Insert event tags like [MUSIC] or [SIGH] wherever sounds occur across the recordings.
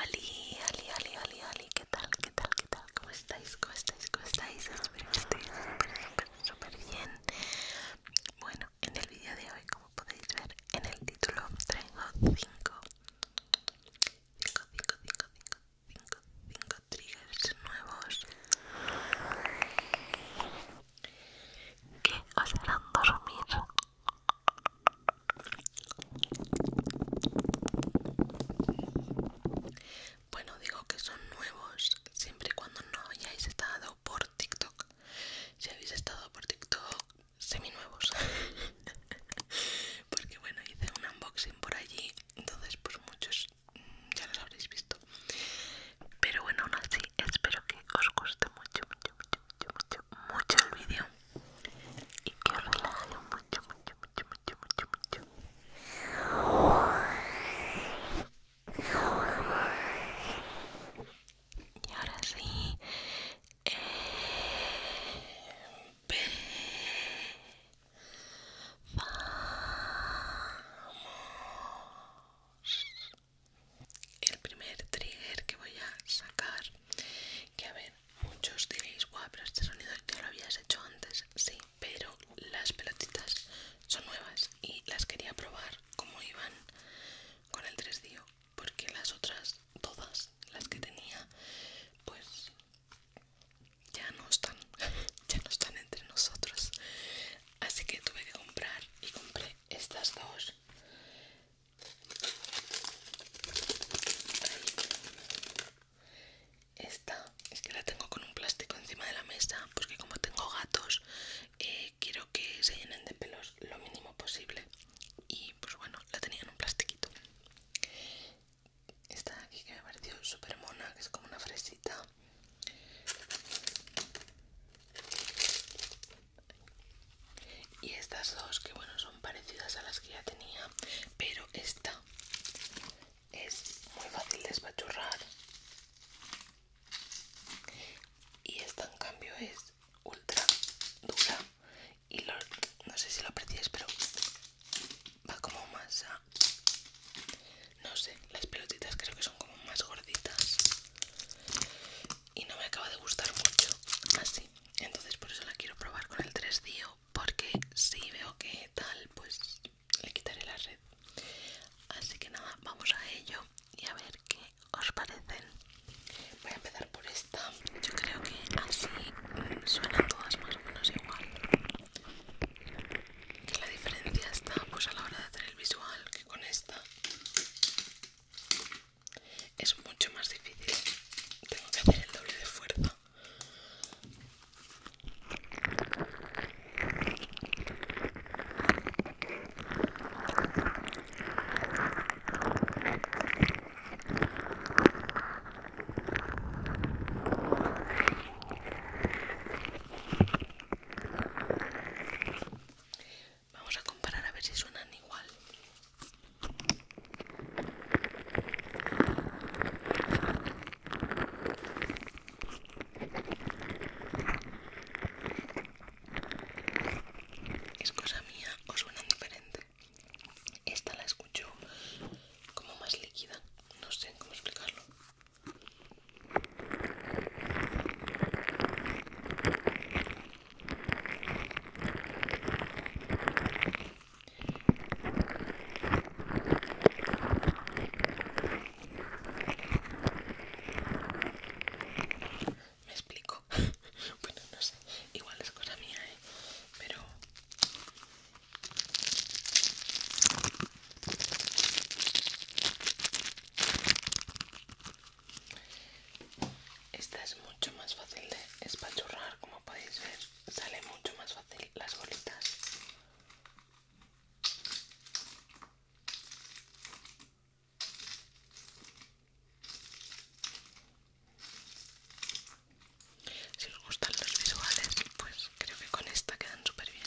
Ali, Ali, Ali, Ali, Ali, ¿qué tal? ¿Qué tal? ¿Qué tal? ¿Cómo estáis? ¿Cómo estáis? ¿Cómo estáis? Espero que estéis súper, bien. Bueno, en el vídeo de hoy, como podéis ver en el título, traigo 5 5, 5, 5, 5, 5, 5 triggers nuevos que os harán dormir bueno, digo que son nuevos siempre y cuando no hayáis estado por TikTok. Si habéis estado por TikTok, semi-nuevos [LAUGHS] Porque bueno, hice un unboxing por allí, entonces pues muchos mm, ya los habréis visto. Pero bueno, aún así, espero que os guste mucho, mucho, mucho, mucho, mucho, mucho el vídeo y que la hago mucho, mucho, mucho, mucho, mucho, Y ahora sí, El primer trigger que voy a sacar, que a ver muchos diréis, guau, pero este sonido ya lo habías hecho antes. Sí, pero las pelotitas son nuevas y las quería probar como iban con el 3D, porque las otras, todas las que tenía, pues ya no están, [LAUGHS] ya no están entre nosotros. Así que tuve que comprar y compré estas dos esta es que la tengo con un plástico encima de la mesa porque como tengo gatos eh, quiero que se llenen de pelos lo mínimo posible y pues bueno, la tenía en un plastiquito. Esta de aquí que me pareció súper mona, que es como una fresita y estas dos que bueno son parecidas a las que ya tenía pero esta es muy fácil de espachurrar y esta en cambio es ultra dura y no sé si lo apreciáis pero va como más a, no sé las pelotitas creo que son como más gorditas y no me acaba de gustar mucho así entonces por eso la quiero probar con el 3 dio porque si veo que tal pues le quitaré la red así que nada vamos a ello y a ver qué os parecen voy a empezar por esta yo creo que así suenan todas más o menos igual que la diferencia está pues a la hora de hacer el visual que con esta es mucho más difícil tengo que hacer el doble de fuerza Vamos a comparar a ver si suenan igual. Es cosa mía o suena diferente. Esta la escucho como más líquida, no sé cómo explicarlo. Me explico. [LAUGHS] bueno, no sé. Igual es cosa mía, ¿eh? Pero... Esta es mucho más fácil de espachurrar, como podéis ver, sale mucho más fácil las bolitas. Si os gustan los visuales, pues creo que con esta quedan súper bien.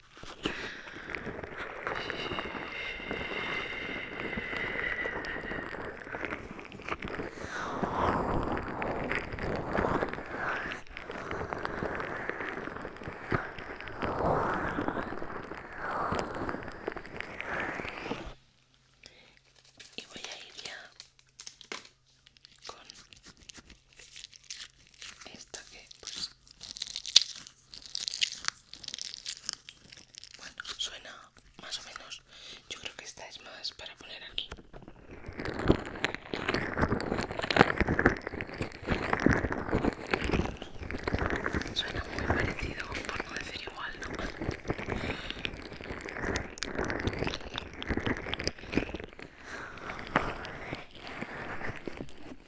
Y voy a ir ya con Esto que pues bueno, suena más o menos. Yo creo que esta es más para poner aquí. Suena muy parecido, por no decir igual, ¿no?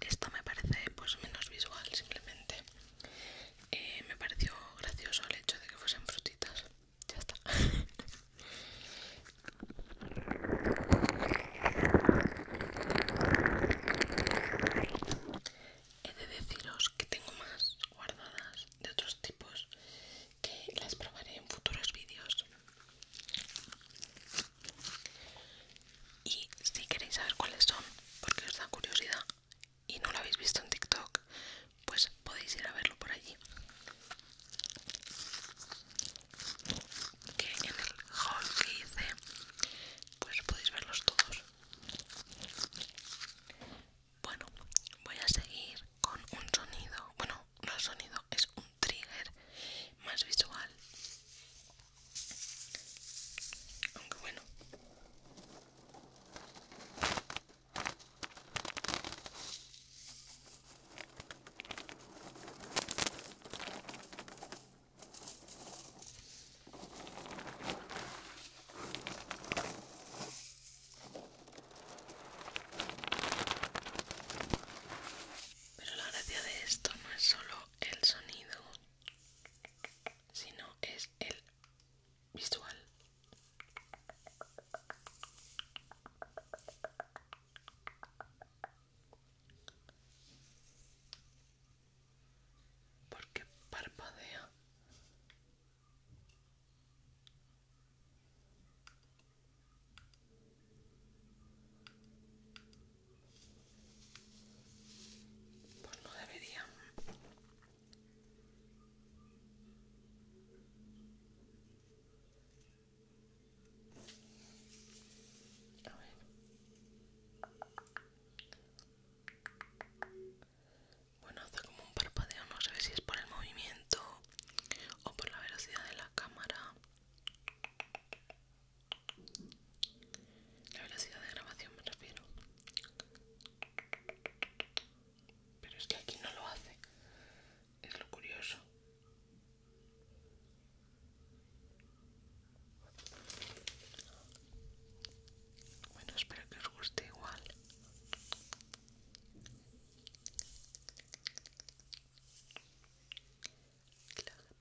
Esto me parece pues menos visual simplemente eh, me pareció gracioso el hecho de que fuesen frutitas ya está [LAUGHS] he de deciros que tengo más guardadas de otros tipos que las probaré en futuros vídeos y si queréis saber cuáles son, porque os da curiosidad y no lo habéis visto en TikTok, pues podéis ir a verlo por allí. Que en el haul que hice, pues podéis verlos todos. Bueno, voy a seguir con un sonido. Bueno, no sonido, es un trigger más visual aunque bueno. Pero la gracia de esto no es solo el sonido, sino es el visual. Porque parpadea. Pues no debería. Bueno, hace como un parpadeo, no sé si es por el movimiento o por la velocidad de la cámara. La velocidad de grabación me refiero. Pero es que aquí no lo hace. Es lo curioso. Bueno, espero que os guste igual.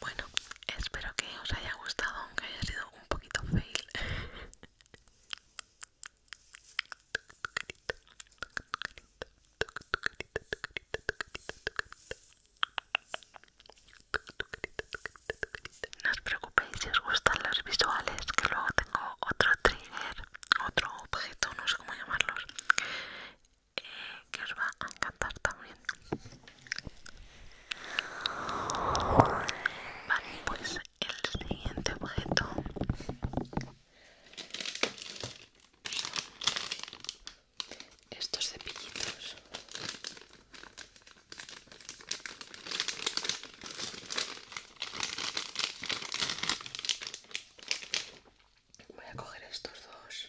Bueno, espero que os haya gustado, aunque haya sido un poquito fail. No os preocupéis si os gustan los visuales, que luego tengo otro trigger, otro objeto, no sé cómo llamarlos, que os va a encantar también. Vale, pues el siguiente objeto estos cepillitos Voy a coger estos dos.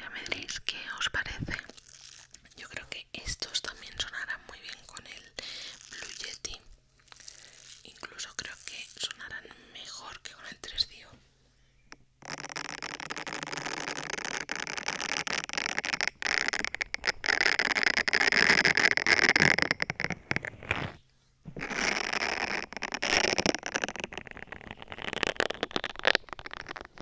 Ya me diréis qué os parece. Yo creo que estos también sonarán muy bien con el Blue Yeti. Incluso creo que sonarán mejor que con el 3 Dio.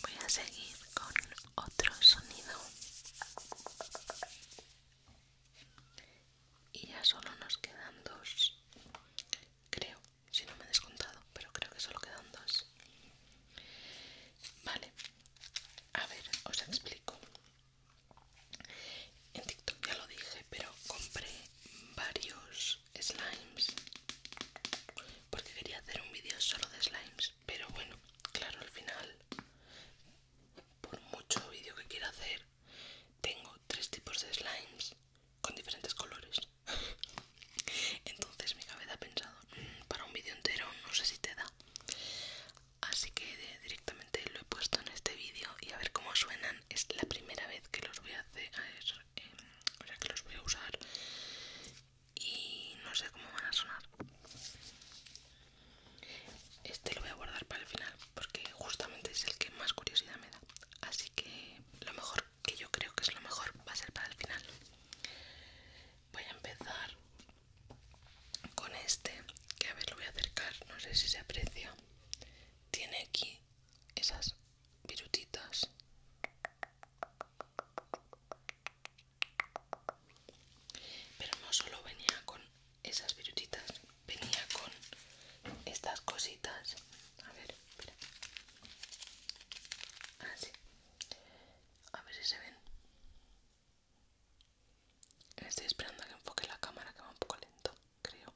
Voy a seguir con otro sonido y ya solo nos quedan dos creo si no me he descontado, pero creo que solo quedan dos. Vale, a ver, os explico. En TikTok ya lo dije, pero compré varios slimes porque quería hacer un vídeo solo de slimes, pero bueno, claro, al final, por mucho vídeo que quiera hacer, tengo tres tipos de slimes con diferentes colores entonces mi cabeza ha pensado, mm, para un vídeo entero no sé si te da. Así que directamente lo he puesto en este vídeo y a ver cómo suenan. Es la primera vez que los voy a hacer, em, que los voy a usar y no sé cómo van a sonar. Este lo voy a guardar para el final porque justamente es el que más curiosidad me da. Así que lo mejor que yo creo que es lo mejor, va a ser para el final. Voy a empezar con este, que a ver, lo voy a acercar, no sé si se aprecia. Tiene aquí esas virutitas. Pero no solo venía con esas virutitas, venía con estas cositas. A ver, Así. A ver si se ven. Estoy esperando a que enfoque la cámara, que va un poco lento, creo.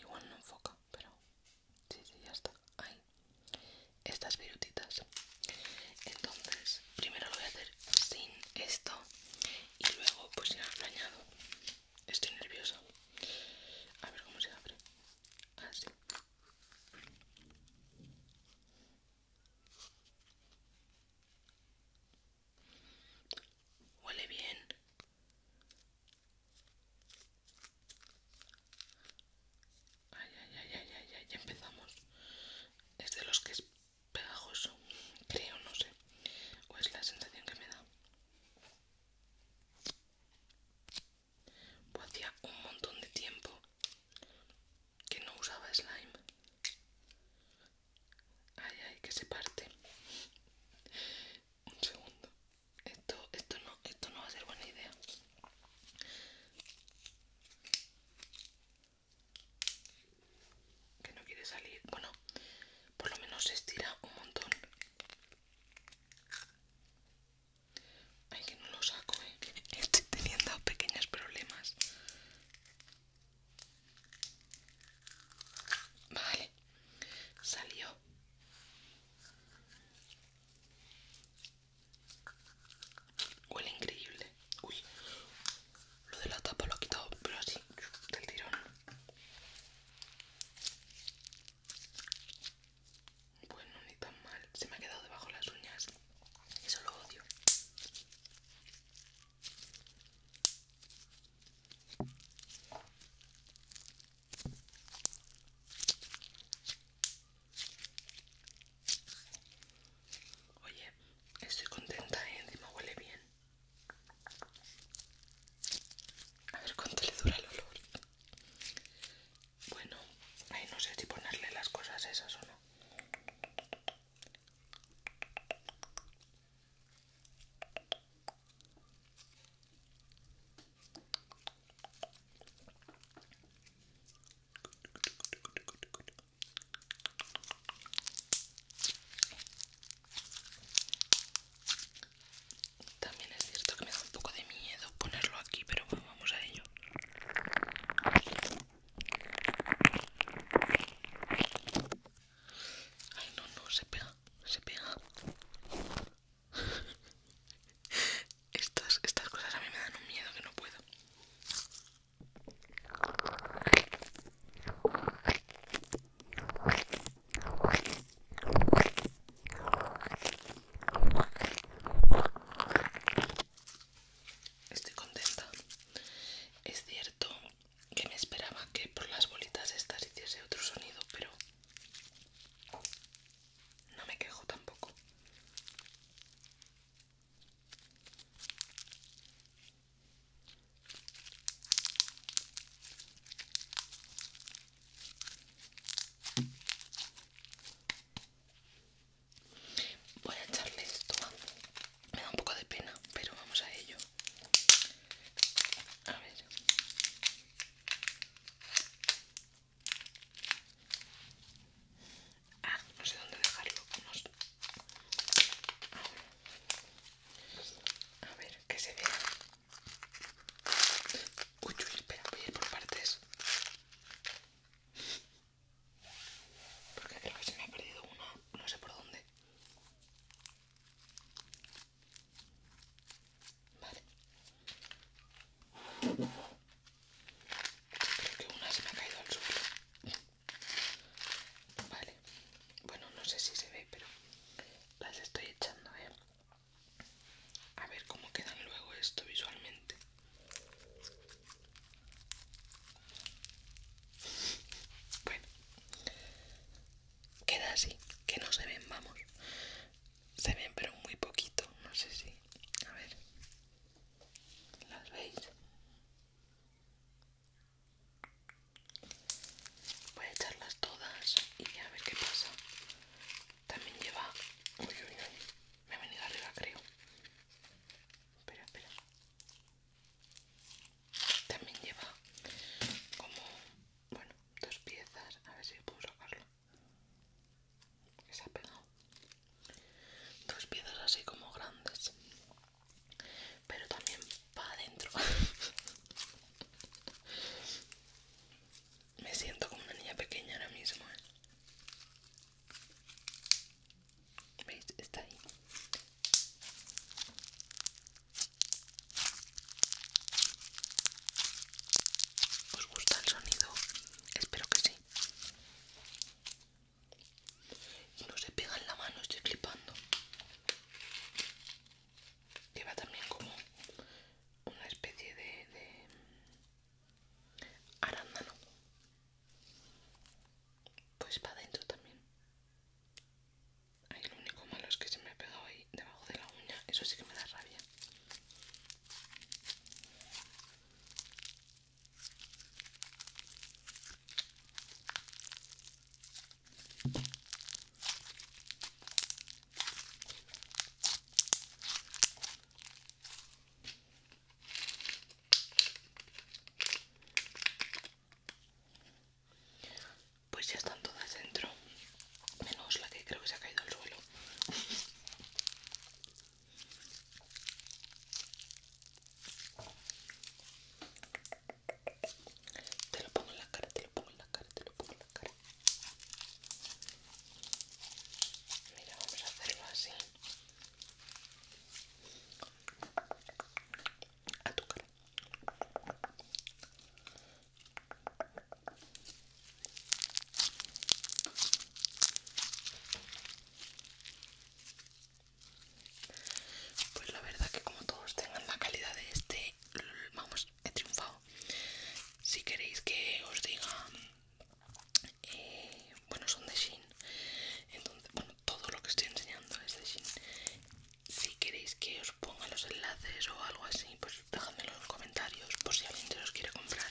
Igual no enfoca, pero... Sí, sí, ya está. Ahí. Estas virutitas. Entonces, primero lo voy a hacer sin esto. Y luego, pues ya lo añado. Estoy nerviosa. A ver cómo se abre. Así. Huele bien. Ay, ay, ay, ay, ya empezamos. Es de los que es pegajoso, creo, no sé. O es la sensación que me da. Pues hacía un montón de tiempo que no usaba slime. Ay, ay, que se parte. Un segundo. Esto, no, esto no va a ser buena idea. Que no quiere salir. Bueno, por lo menos se estira un montón. Ay, que no lo saco, eh. Estoy teniendo pequeños problemas. Vale, salió. Huele increíble. Uy, lo de la tapa lo he quitado, pero así, del tirón. Bueno, ni tan mal. Se me ha quedado debajo las uñas. Eso lo odio. Oye, estoy contenta, ¿eh? encima huele bien. A ver cuánto le dura el olor. Bueno, ahí no sé si ponerle las cosas esas o no. También es cierto que me da un poco de miedo ponerlo aquí, pero vamos a ello. Ay, no, no, se pega, se pega. [LAUGHS] Estas, estas cosas a mí me dan un miedo que no puedo. Estoy contenta. Es cierto que me esperaba que por las bolitas estas hiciese otro sonido, pero no me quejo tampoco. Voy a echarle esto. Me da un poco de pena, pero vamos a ello. A ver. Ah, no sé dónde dejarlo. Unos... A ver, que se vea. Uy, uy, espera, voy a ir por partes. Porque creo que se me ha perdido una, no sé por dónde. Vale. Creo que una se me ha caído al suelo. Vale. Bueno, no sé si se ve, pero las estoy echando, ¿eh? A ver cómo quedan luego esto visualmente. Bueno, queda así, que no se ven, vamos. Se ven, pero muy poquito, no sé si. A ver, ¿las veis? Voy a echarlas todas y a ver qué pasa. También lleva. Uy, me ha venido arriba, creo. Espera, espera. También lleva como, bueno, dos piezas. A ver si puedo sacarlo. Que se ha pegado. Dos piezas así como grandes. Pero también para adentro. [LAUGHS] Me siento como una niña pequeña ahora mismo. ¿eh? ¿Veis? Está ahí. ¿Os gusta el sonido? Espero que sí. Y no se pega en la mano, estoy flipando. va también como una especie de arándano pues para adentro también ahí lo único malo es que se me ha pegado ahí debajo de la uña eso sí que me da rabia pues ya están todas dentro, menos la que creo que se ha caído al suelo. Te lo pongo en la cara, te lo pongo en la cara, te lo pongo en la cara. Mira, vamos a hacerlo así a pues la verdad que como todos tengan la calidad de este vamos he triunfado si queréis que os diga eh, bueno son de Shein entonces bueno todo lo que estoy enseñando es de Shein si queréis que os ponga los enlaces o algo así pues dejadmelo en los comentarios por si alguien se los quiere comprar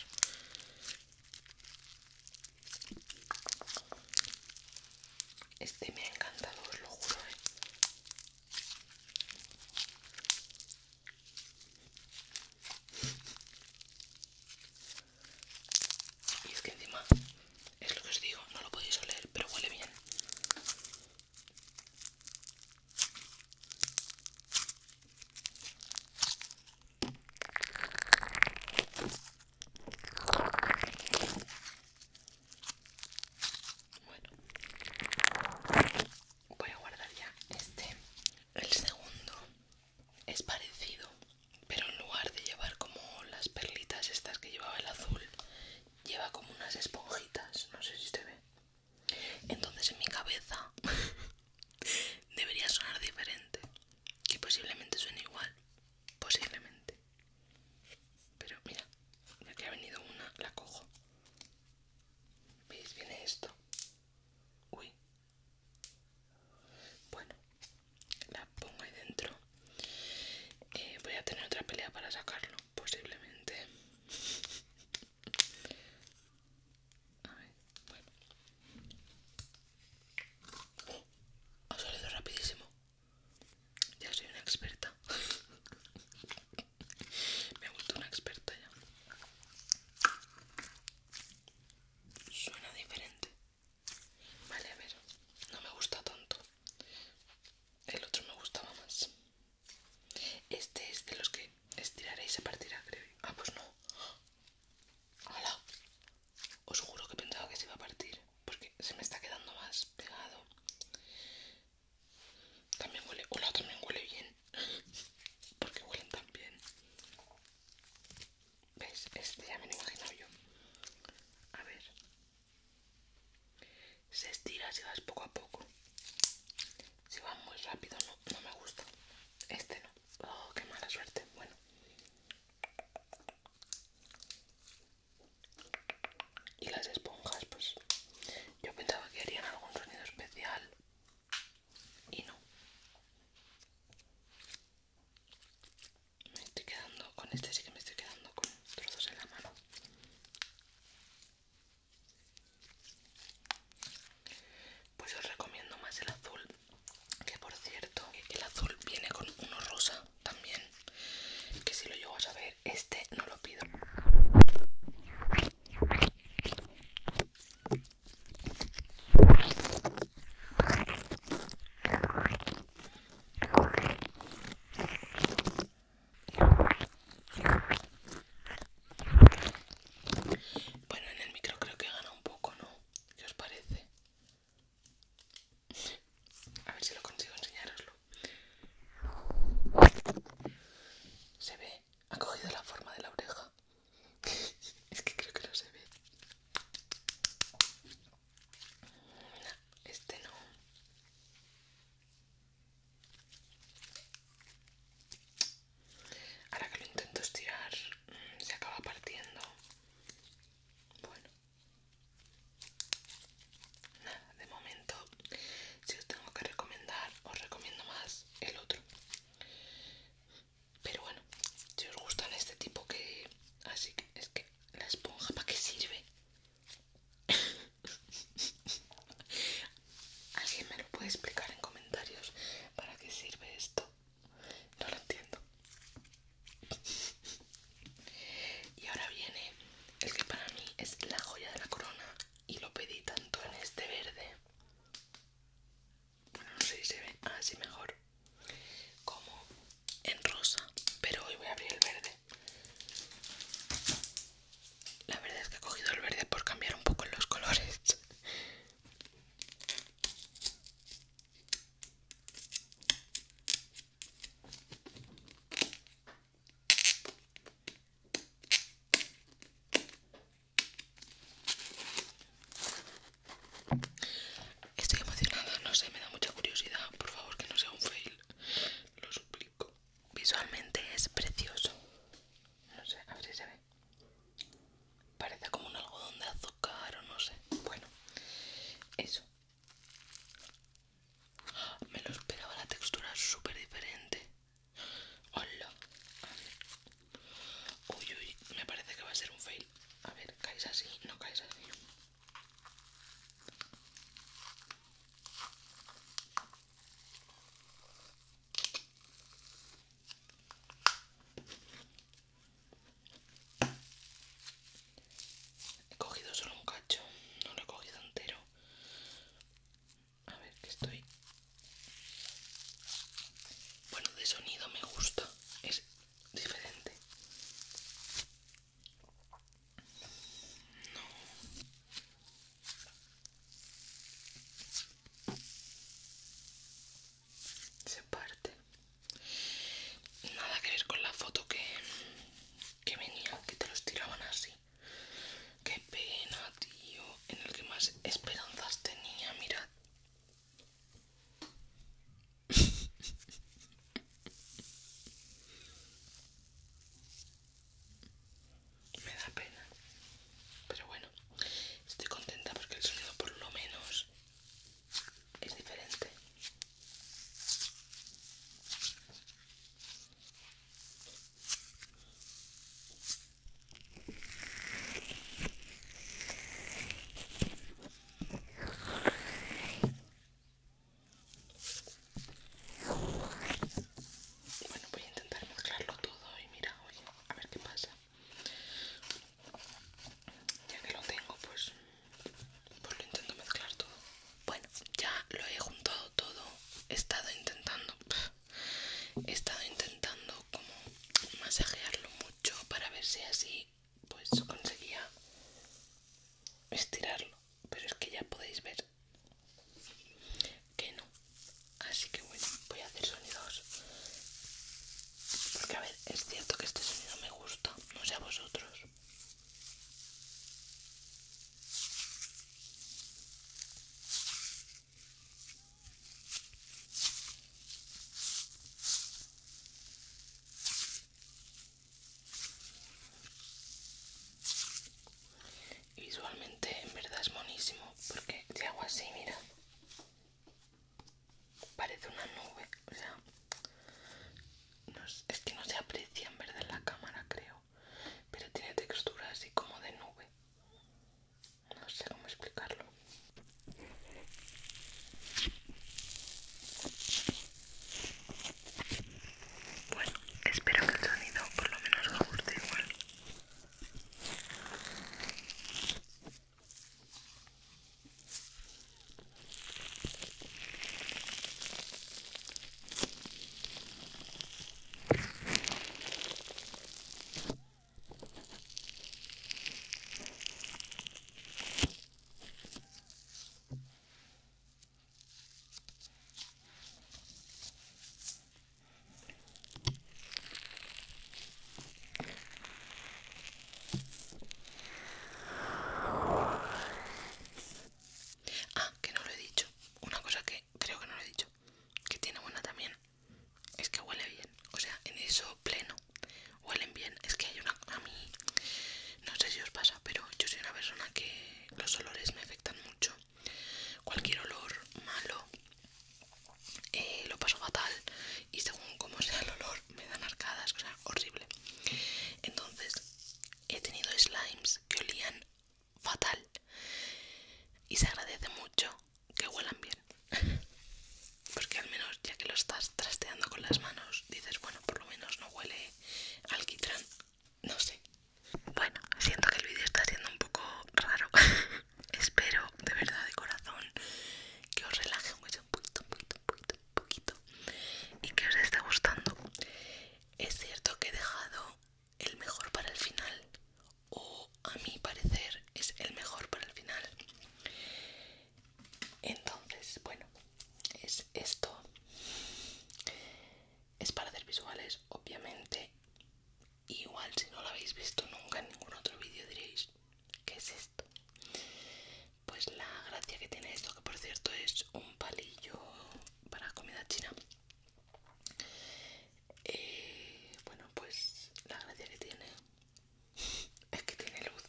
este me ha encantado os lo juro eh. Y es que encima, es lo que os digo, no lo podéis oler, pero huele bien. Bueno, voy a guardar ya este, el segundo es parecido pero en lugar de llevar como las perlitas estas que llevaba el azul lleva como unas esponjitas no sé si se ve entonces en mi cabeza [LAUGHS] debería sonar diferente que posiblemente suene igual posiblemente pero mira ya que ha venido una la cojo veis viene esto uy bueno, la pongo ahí dentro. Eh, voy a tener otra pelea para sacarlo, posiblemente. [LAUGHS] A ver, bueno. ha salido rapidísimo. Ya soy una experta. [LAUGHS] Me he vuelto una experta ya. Suena diferente. Vale, a ver. No me gusta tanto. El otro me gustaba más. Este es de los que estiraréis y se partirá, creo. Ah, pues no. ¡Hala! Os juro que pensaba que se iba a partir. Porque se me está quedando más pegado. También huele. Hola, también huele bien. [LAUGHS] porque huelen tan bien. ¿Veis? Este ya me lo he imaginado yo. A ver. Se estira si vas poco a poco. Si vas muy rápido, no, no me gusta. Este no. Oh, qué mala suerte. Bueno. Y las esponjas, pues yo pensaba que harían algún sonido especial y no. Me estoy quedando con este, sí que me estoy quedando con trozos en la mano. Pues os recomiendo más el azul, que por cierto, el azul viene con uno rosa también, que si lo llevo a saber, este no lo pido. Bueno, en el micro creo que gana un poco, ¿no? ¿Qué os parece? A ver si lo consigo enseñaroslo. Se ve, ha cogido la forma de la oreja es que creo que no se ve. Este no. Ahora que lo intento estirar, mm, se acaba partiendo. Bueno. Nada, de momento, si os tengo que recomendar, os recomiendo más el otro. Pero bueno, si os gustan este tipo que... Así que es que la esponja, ¿para qué sirve? [LAUGHS] ¿Alguien me lo puede explicar en comentarios? ¿Para qué sirve esto? No lo entiendo. [LAUGHS] Y ahora viene el que para mí es la joya de la corona y lo pedí tanto en este verde bueno, no sé si se ve así mejor. Como en rosa. Pero hoy voy a abrir el verde. La verdad es que he cogido el verde por cambiar un poco los colores. Estoy emocionada, no sé, me da mucha curiosidad. Por favor, que no sea un fail. Lo suplico. Visualmente es precioso. No sé, a ver si se ve. Parece como un algodón de azúcar o no sé. Bueno, eso. Me lo esperaba la textura súper diferente. Hola. Uy, uy, me parece que va a ser un fail. A ver, caes así, no caes así. He cogido solo un cacho, no lo he cogido entero. A ver, que estoy... Bueno, de sonido me gusta. Es diferente. No. Se parte. Nada que ver con la foto que, que venía, que te los tiraban así. Qué pena, tío. En el que más esperanzas tenía, mirad. Me da pena, pero bueno, estoy contenta porque el sonido por lo menos es diferente. Bueno, voy a intentar mezclarlo todo y mira, oye, a ver qué pasa. Ya que lo tengo, pues, pues lo intento mezclar todo. Bueno, ya lo he juntado todo. He estado intentando, he estado intentando como masajearlo mucho para ver si así pues conseguía estirarlo pero es que ya podéis ver que no así que bueno voy a hacer sonidos porque a ver es cierto que este sonido me gusta no sé a vosotros Visualmente en verdad es monísimo porque si hago así, mira, parece una nube, o sea, es, es que no se aprecia en verdad en la cámara creo, pero tiene textura así como de nube, no sé cómo explicarlo. Bueno, espero que el sonido por lo menos os guste igual. Ah, que no lo he dicho. Una cosa que creo que no lo he dicho. Que tiene buena también. Es que huele bien. O sea, en eso pleno huelen bien es que hay una a mí no sé si os pasa pero yo soy una persona que los olores me afectan mucho cualquier olor malo eh, lo paso fatal y según como sea el olor me dan arcadas o sea horrible entonces he tenido slimes que olían fatal y se agradece mucho que huelan bien [LAUGHS] Porque al menos ya que lo estás trasteando con las manos, dices, bueno, por lo menos no huele alquitrán. No sé. Bueno, siento que el vídeo está siendo un poco raro. [LAUGHS] Espero de verdad de corazón que os relaje un poquito, un poquito, un poquito, un poquito. Y que os esté gustando. Es cierto que he dejado el mejor para el final. O a mi parecer es el mejor para el final. Entonces, bueno, es esto. Es para hacer visuales, obviamente. Igual si no lo habéis visto nunca en ningún otro vídeo diréis, ¿qué es esto? Pues la gracia que tiene esto, que por cierto es un palillo para comida china. Eh, bueno, pues la gracia que tiene es que tiene luz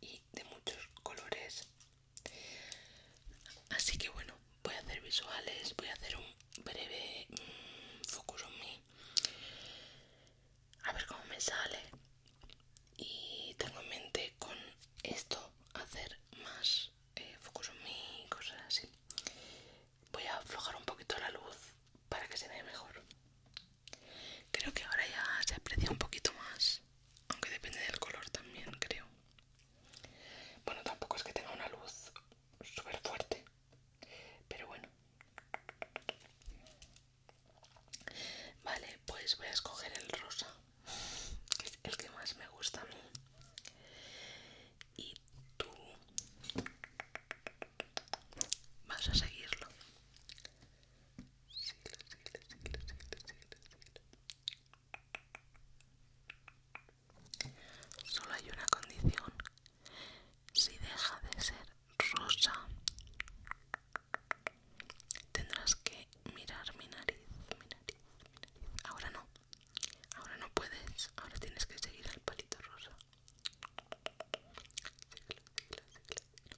y de muchos colores así que bueno voy a hacer visuales voy a hacer un breve mm, focus on me a ver cómo me sale y tengo en mente con esto hacer más eh, focus on me y cosas así voy a aflojar un poquito la luz para que se vea mejor. Creo que ahora ya se aprecia un poquito más, aunque depende del color también, creo. Bueno, tampoco es que tenga una luz súper fuerte, pero bueno. Vale, pues voy a escoger el rosa, que es el que más me gusta a mí. Y tú Vas a seguirlo. Solo hay una condición. Si deja de ser rosa, tendrás que mirar mi nariz, Ahora no. Ahora no puedes. Ahora tienes que seguir al palito rosa.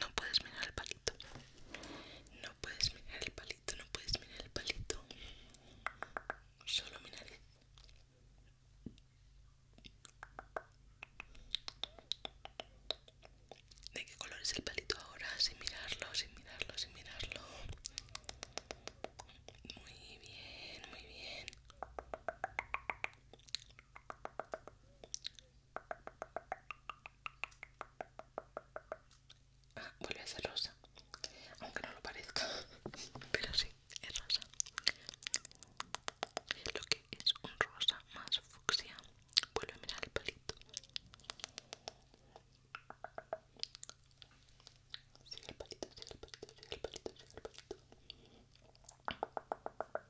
No puedes mirar el palito. No puedes mirar el palito, no puedes mirar el palito. Solo mi ¿De qué color es el palito ahora? Sin mirarlo, sin mirarlo, sin mirarlo. Muy bien, muy bien. Ah, vuelve a ser rosa. Aunque no lo parezca, [LAUGHS] pero sí, es rosa. Lo que es un rosa más fucsia. Vuelve a mirar el palito. Sigue el palito, sigue el palito, sigue el palito, sigue el palito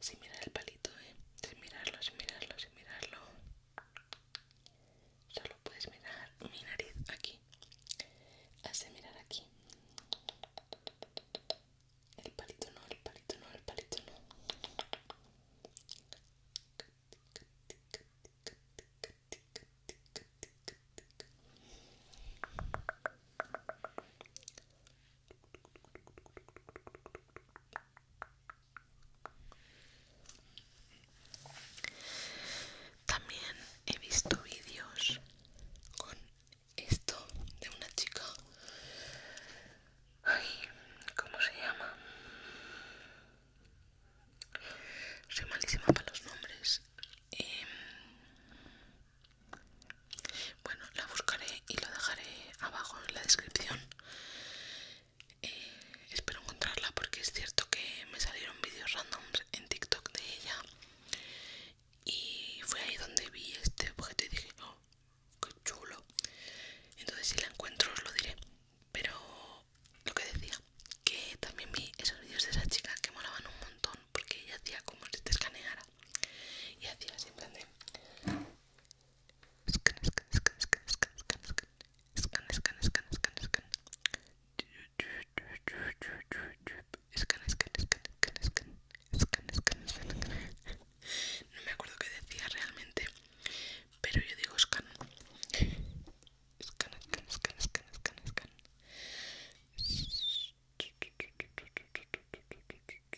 Sin mirar el palito, ¿eh? Sin mirarlo, sin mirarlo, sin mirarlo. Solo puedes mirar mi nariz aquí. Hace mirar aquí. El palito no, el palito no, el palito no. También he visto vídeos con esto de una chica. Ay, ¿cómo se llama? Soy malísima para los nombres. Em, bueno, la buscaré y lo dejaré abajo en la descripción. Eh, espero encontrarla porque es cierto que me salieron vídeos randoms en TikTok de ella y fue ahí donde vi este objeto y dije, oh, qué chulo. Entonces si la encuentro os lo diré. Pero lo que decía, que también vi esos vídeos de esa chica que molaban un montón porque ella hacía como si te escaneara y hacía así no me acuerdo qué decía realmente, pero yo digo scan, scan.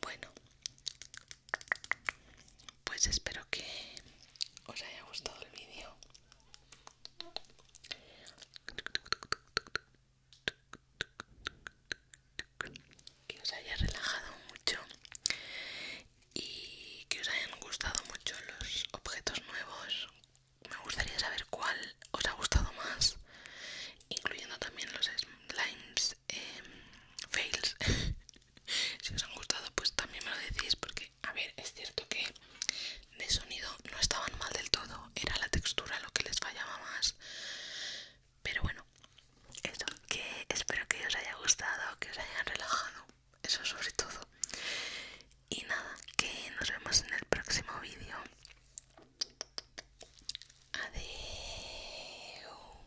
Bueno, pues espero que os haya gustado el vídeo. Que os haya relajado mucho y que os hayan gustado mucho los objetos nuevos. Me gustaría saber cuál os ha gustado más, incluyendo también los slimes, eh, fails, [LAUGHS] [LAUGHS] si os han gustado pues también me lo decís porque a ver es cierto que de sonido no estaban mal del todo era la textura lo que les fallaba más pero bueno eso que espero que os haya gustado que os hayan relajado eso sobre todo y nada que nos vemos en el próximo vídeo Adiós